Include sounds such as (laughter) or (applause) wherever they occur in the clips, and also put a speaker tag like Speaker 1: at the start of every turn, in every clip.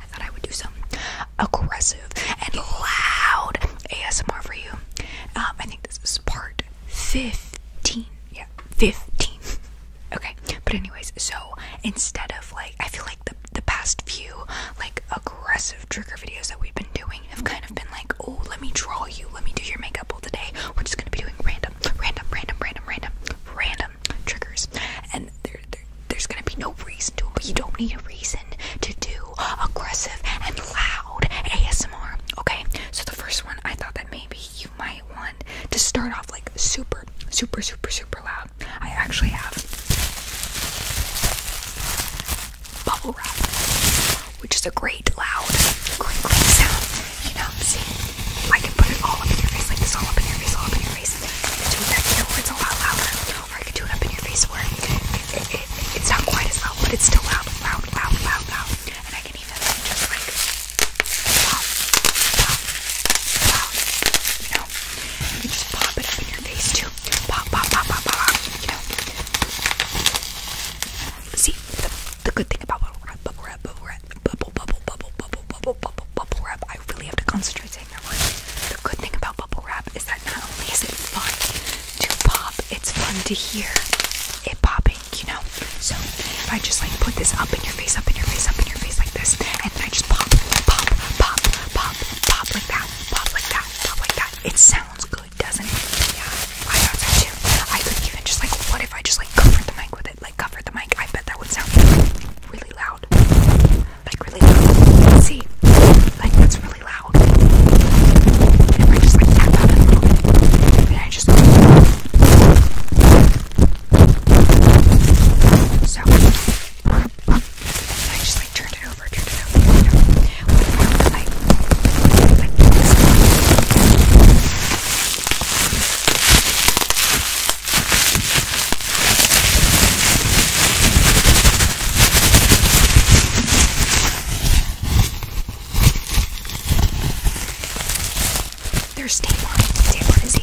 Speaker 1: I thought I would do some aggressive and loud ASMR for you. Um, I think this is part 15. Yeah, 15. (laughs) okay, but anyways, so instead of like, I feel like the, the past few like aggressive trigger videos that we've been doing have kind of been like, oh, let me draw you, let me do your makeup all the day. We're just gonna be doing random, random, random, random, random, random triggers. And there, there's gonna be no reason to but you don't need a reason to do aggressive and loud ASMR. Okay, so the first one, I thought that maybe you might want to start off like super, super, super, super loud. I actually have bubble wrap, which is a great loud crinkling sound. You know, see, I can put it all up in your face, like this, all up in your face, all up in your face. Do that, you know, it's a lot louder or I could do it up in your face it's not quite as loud, but it's still loud, loud, loud, loud, loud. And I can even just like you know. You can just pop it up in your face too. Pop, pop, pop, pop, pop, you know. See, the, good thing about bubble wrap, bubble wrap, bubble wrap, bubble, bubble, bubble, bubble, bubble, bubble wrap. I really have to concentrate saying there was. The good thing about bubble wrap is that not only is it fun to pop, it's fun to hear it popping, you know? So if I just like put this up in your face, up in your face, up in your face like this, and then I just pop, pop, pop, pop, pop like that, pop like that, pop like that, it sounds good, doesn't it? Yeah, I thought so too. I could even just like, what if I just like covered the mic with it, like covered the mic? I bet that would sound really really loud. Like really loud. See? Like that's really loud. And if I just like tap out a little bit, and I just so I just like turned it over, turned it over, turned it over. What I like, like this. There's tape on it. Tape on his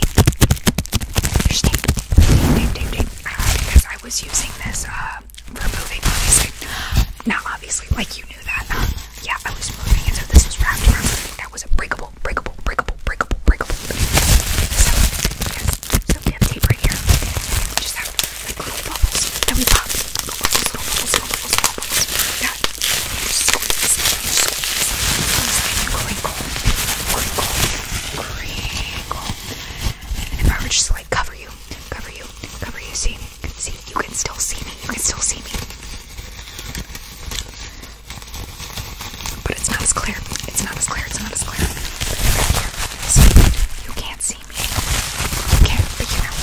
Speaker 1: There's tape. Tape, tape, tape. Uh, because I was using this uh, for moving, obviously. Now, obviously, like you knew that. Um, yeah, I was moving, and so this was wrapped around. That was a breakable, breakable, breakable, breakable, breakable. So, yes. So we have tape right here. just have like little bubbles that we pop. Little bubbles, Yeah. squeeze, squeeze. crinkle, crinkle, crinkle. And if I were just like cover you, cover you, cover you, see, see, you can still see me, you can still see me. But it's not as clear. It's not as clear. It's not as clear. you can't see me. You can't, but you know.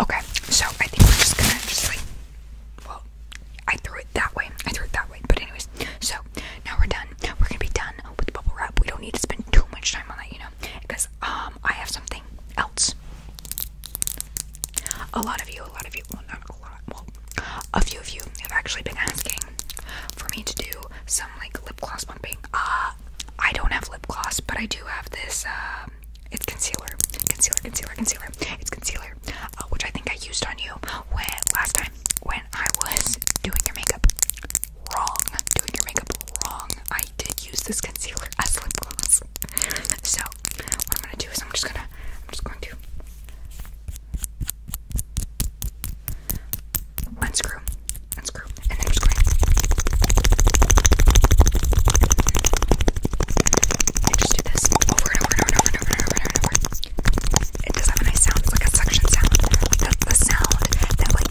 Speaker 1: Okay, so I think we're just gonna just like, well, I threw it that way. I threw it that way. But anyways, so now we're done. We're gonna be done with bubble wrap. We don't need to spend too much time on that, you know, because um I have something else a lot of you, a lot of you, well, not a lot, well, a few of you have actually been asking for me to do some like lip gloss bumping. Ah, I don't have lip gloss, but I do have this, um, it's concealer, concealer, concealer, concealer. It's concealer, uh, which I think I used on you when last time when I was doing your makeup. Wrong. Doing your makeup wrong. I did use this concealer (laughs) as lip gloss. so what I'm gonna do is I'm just gonna I'm just going to unscrew, unscrew, and then I'm just going to just do this over and over and over and over and over and over and over. It does have a nice sound. It's like a suction sound. Like the, the sound that like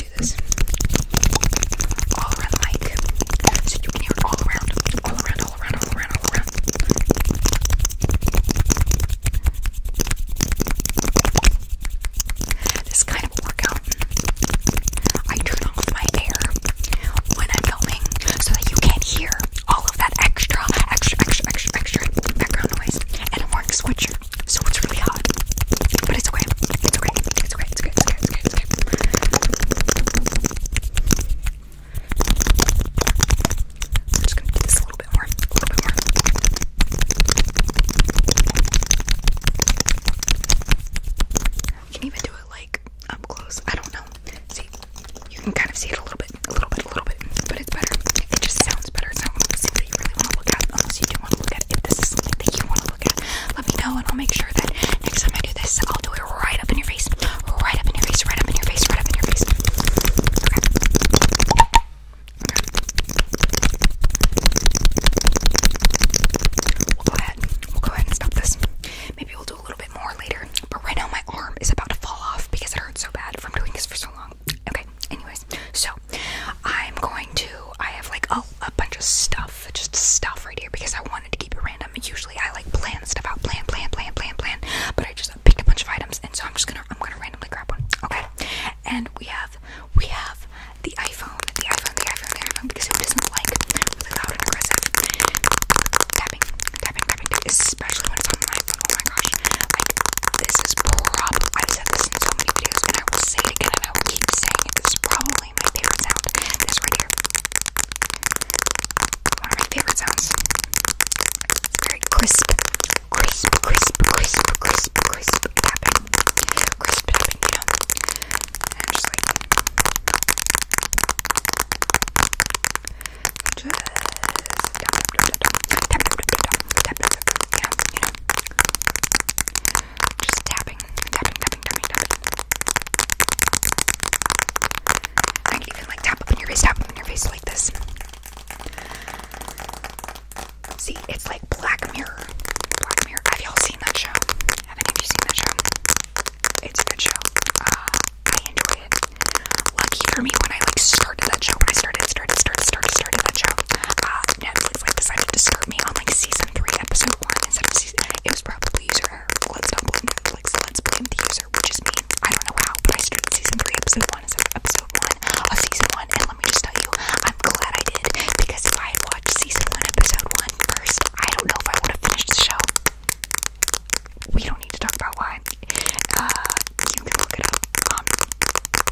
Speaker 1: all around the So you hear all around. All around, all around, all around, all around. This kind of workout. I turn off my air when I'm filming so that you can hear all of that extra, extra, extra, extra, extra background noise. And I'm wearing sweatshirt, so it's really hot. But it's okay. It's okay. It's okay. Alright, skip, skip, skip, skip. I'm just gonna do a little bit more. A little bit more. can even do it like up close. I don't know. See, you can kind of see it a little bit, a little bit, a little bit, but it's better. It just sounds better. It's not something you really want to look at unless you want to look at. If this is something that you want to look at, let me know and I'll make sure that next time I do this, I'll do it right up in your face. Right up in your face, right up in your face, right up in your face. Okay. We'll go ahead. We'll go ahead and stop this. Maybe we'll do a little bit more later. But right now my arm is about to fall off because it hurts so bad from doing this for so long. Okay, anyways, so I'm going to, I have like oh, a bunch of stuff, just stuff right here because I wanted to keep it random. Usually I like plan stuff out, plan, plan, plan, plan, plan, but I just picked a bunch of items and so I'm just gonna, I'm gonna randomly grab one. Okay, and we have, we have the iPhone, the iPhone, the iPhone, the iPhone because who doesn't like really loud and aggressive tapping, tapping, tapping, tapping especially when it's on my iPhone. Oh my gosh, like this is probably, I've said this in so many videos and I will say it again I will keep saying it. This is definitely my favorite sound. This right here. One of my favorite sounds. Very crisp. Crisp, crisp, crisp, crisp, crisp tapping. Crisp tapping, you know? just like. Just tapping, tapping, tapping, tapping, tapping. I can even like tap up in your face, tap up your face like this. See, it's like Black Mirror. Black Mirror. Have y'all seen that show? Have any you seen that show? It's a good show. Uh, I enjoy it. Lucky for me, when I like started that show, when I started, started, started, started, started that show, uh, kids like decided to skirt me on like season three, episode one instead of season. It was probably user error. Let's not blame Netflix. Let's blame the user, which is me. I don't know how, but I started season three, episode one instead of episode one of season one. And let me just tell you, I'm glad I did because if I had watched season one, episode one first, I don't know if I would have finished the show. We don't need to talk about why. Uh, you can look it up. Um,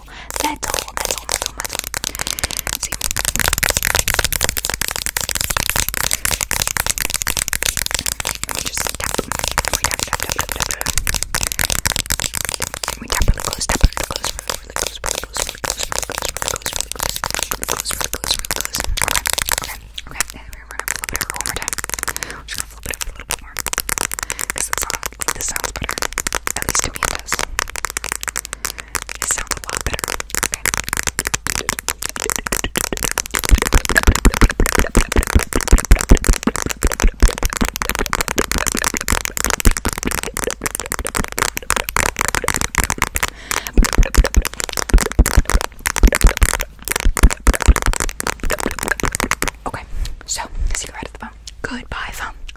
Speaker 1: all. That's all. That's all. That's all. That's all. See? Let me just tap. We tap, tap, tap, tap, tap, tap. We tap really close, tap really close, really close, really close, really close, really close, really close, really close, really close, really close, really close. Okay, okay, okay. We're gonna flip it over one more time. I'm just gonna flip it over a little bit more. Because this sounds, like, this sounds better. At least to me it does. Okay, it sounds a lot better. Okay. Okay, the phone. Goodbye, phone.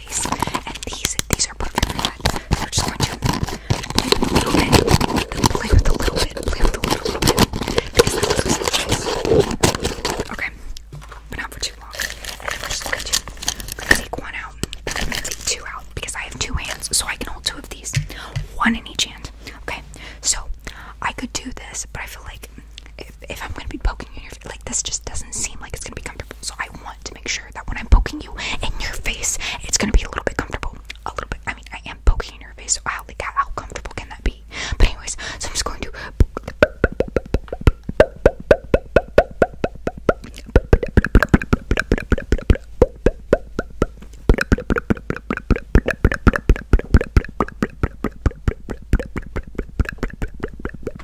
Speaker 1: And these these are perfect for that. So just going to do a little bit, then play with a little bit, play with a little, bit, Okay, but not for too long. I'm just going to, take one out, I'm going to take two out, because I have two hands, so I can hold two of these, one in each hand. Okay, so I could do this, but I feel like if, if I'm going to be poking in your like this just doesn't seem like it's gonna be comfortable. So I want to make sure that when I'm poking you in your face, it's gonna be a little bit comfortable. A little bit. I mean, I am poking in your face. So how like how comfortable can that be? But anyways, so I'm just going to.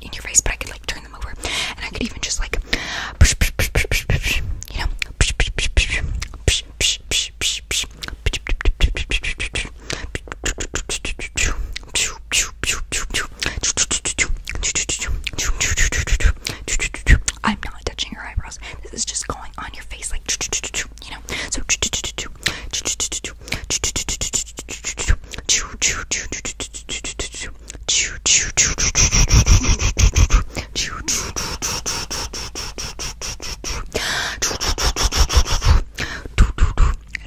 Speaker 1: in your face, but I could like turn them over, and I could even just like, you know, I'm not touching your eyebrows. This is just going on your face, like you know. So. And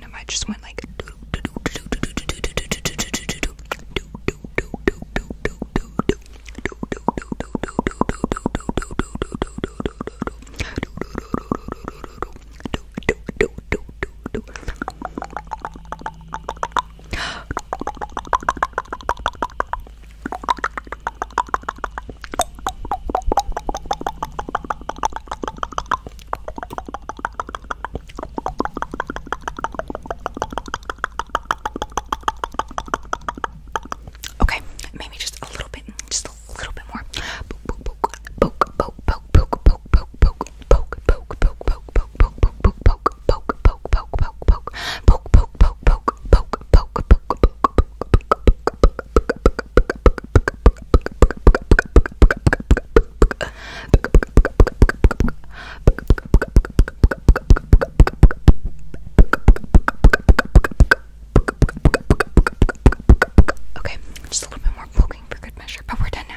Speaker 1: I might just went like Okay, maybe just a little bit, just a little bit more. Okay, just a little bit more poking for good measure, but we're done now.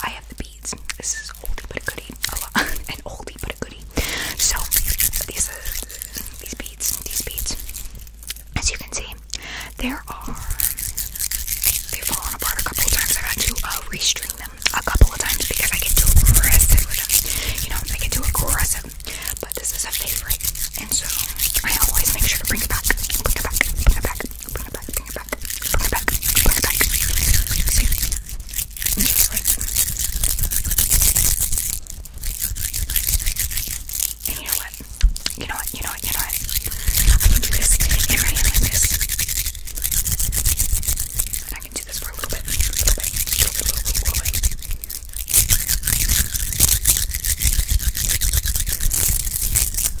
Speaker 1: I have the beads. This is oldie but a goodie. Oh, (laughs) oldie but a goodie. So these uh, these beads, these beads. As you can see, there are they've fallen apart a couple of times. i had to uh, restring them a couple of times because I get too aggressive You know, I get too aggressive. But this is a favorite, and so I always make sure to bring it back, bring it back, bring it back, Bring it back, bring it back, bring it back, bring it back. Bring it back. And you know what? You know what? You know what? You know what? I can do this. Get right here like this. And I can do this for a little bit. A little bit. A little bit. A little bit. A little bit.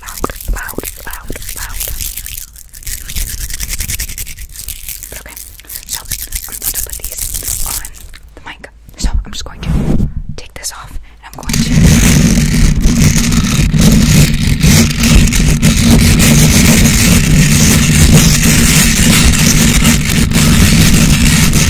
Speaker 1: loud, loud, loud, loud. Okay, so I'm going to put these on the mic. So I'm just going to take this off and I'm going to.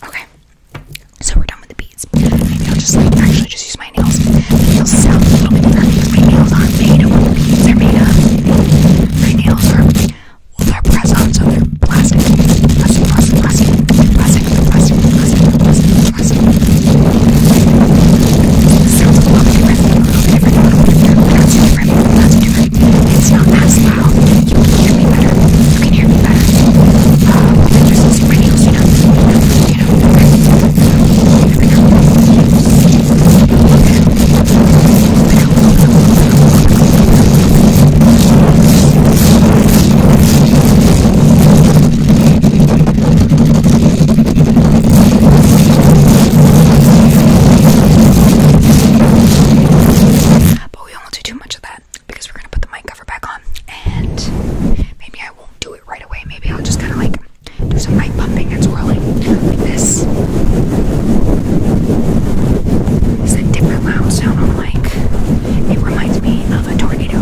Speaker 1: Okay, so we're done with the beads. Maybe I'll just like actually just use scratch my nails. They'll sound a little bit funny because my nails aren't made of what beads are made of. My nails are, well, they're press on, so they're plastic. Plastic, plastic, plastic, plastic, plastic, plastic, plastic, plastic. It sounds a little bit different, a little bit different, a little bit different, but not too different, not too different. It's not as loud. You can hear me better. You can hear me better. Uh, than just using my nails, you know. You know. But we won't do too much of that because we're gonna put the mic cover back on and maybe I won't do it right away. Maybe I'll just kind of like do some light pumping and swirling like this. It's different loud sound on like it reminds me of a tornado.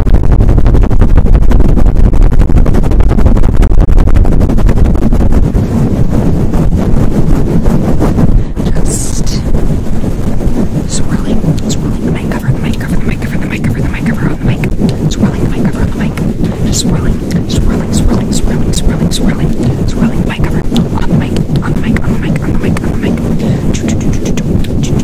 Speaker 1: Just swirling, swirling the mic cover, the mic cover, the mic cover, the mic cover, the mic cover on the mic, swirling the mic cover on the mic, just swirling, swirling, swirling, swirling, swirling, swirling, swirling the mic cover on the mic, on the mic, on the mic, on the mic, on the mic.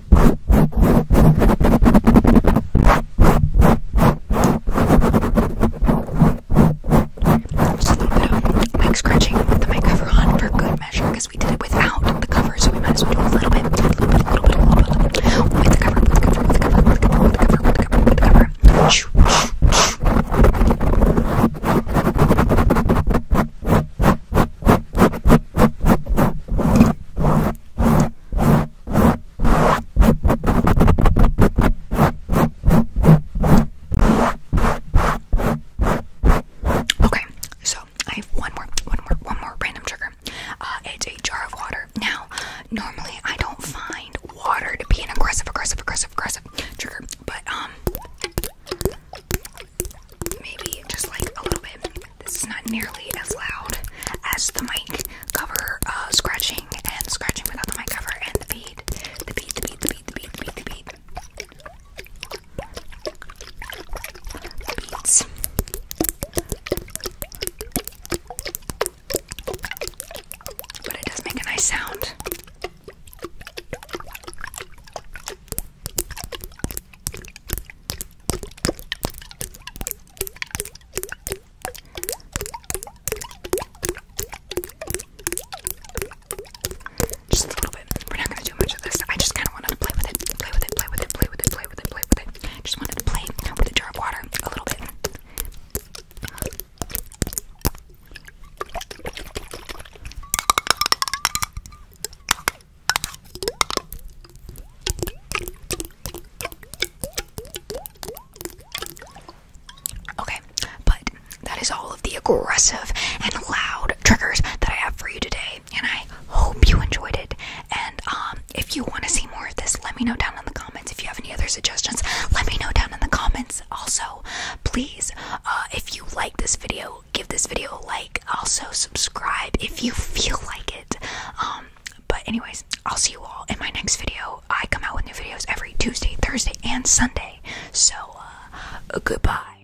Speaker 1: Just a little bit of mic scratching with the mic cover on for good measure because we did it without the cover, so we might as well do a little bit, a little bit, a little bit, a little bit, little bit. with the cover, with the cover, with the cover, with the cover, with the cover, with the cover, with the cover. With the cover. Shoo, shoo, shoo. Okay, so I have one more, one more, one more random trigger. Uh, it's a jar of water. Now, normally I don't find water to be an aggressive, aggressive, aggressive, aggressive trigger, but um, maybe just like a little bit. This is not nearly as loud as the mic cover uh, scratching and scratching without the mic cover and the beat, The bead, the bead, the bead, the bead, the bead, the bead. The beads. But it does make a nice sound. Just a little bit. We're not gonna do much of this. I just kind of wanted to play with it, play with it, play with it, play with it, play with it, play with it. Just wanted to play with a jar of water a little bit. Okay, but that is all of the aggressive and loud triggers that I have for you today, and I hope you enjoyed it. And um, if you want to see more of this, let me know down in the comments. If you have any other suggestions, let me know down in the comments. Also, please, uh, if you like this video, give this video a like. Also subscribe if you feel like it. Um, but anyways, I'll see you all in my next video. I come out with new videos every Tuesday, Thursday, and Sunday. So uh, goodbye.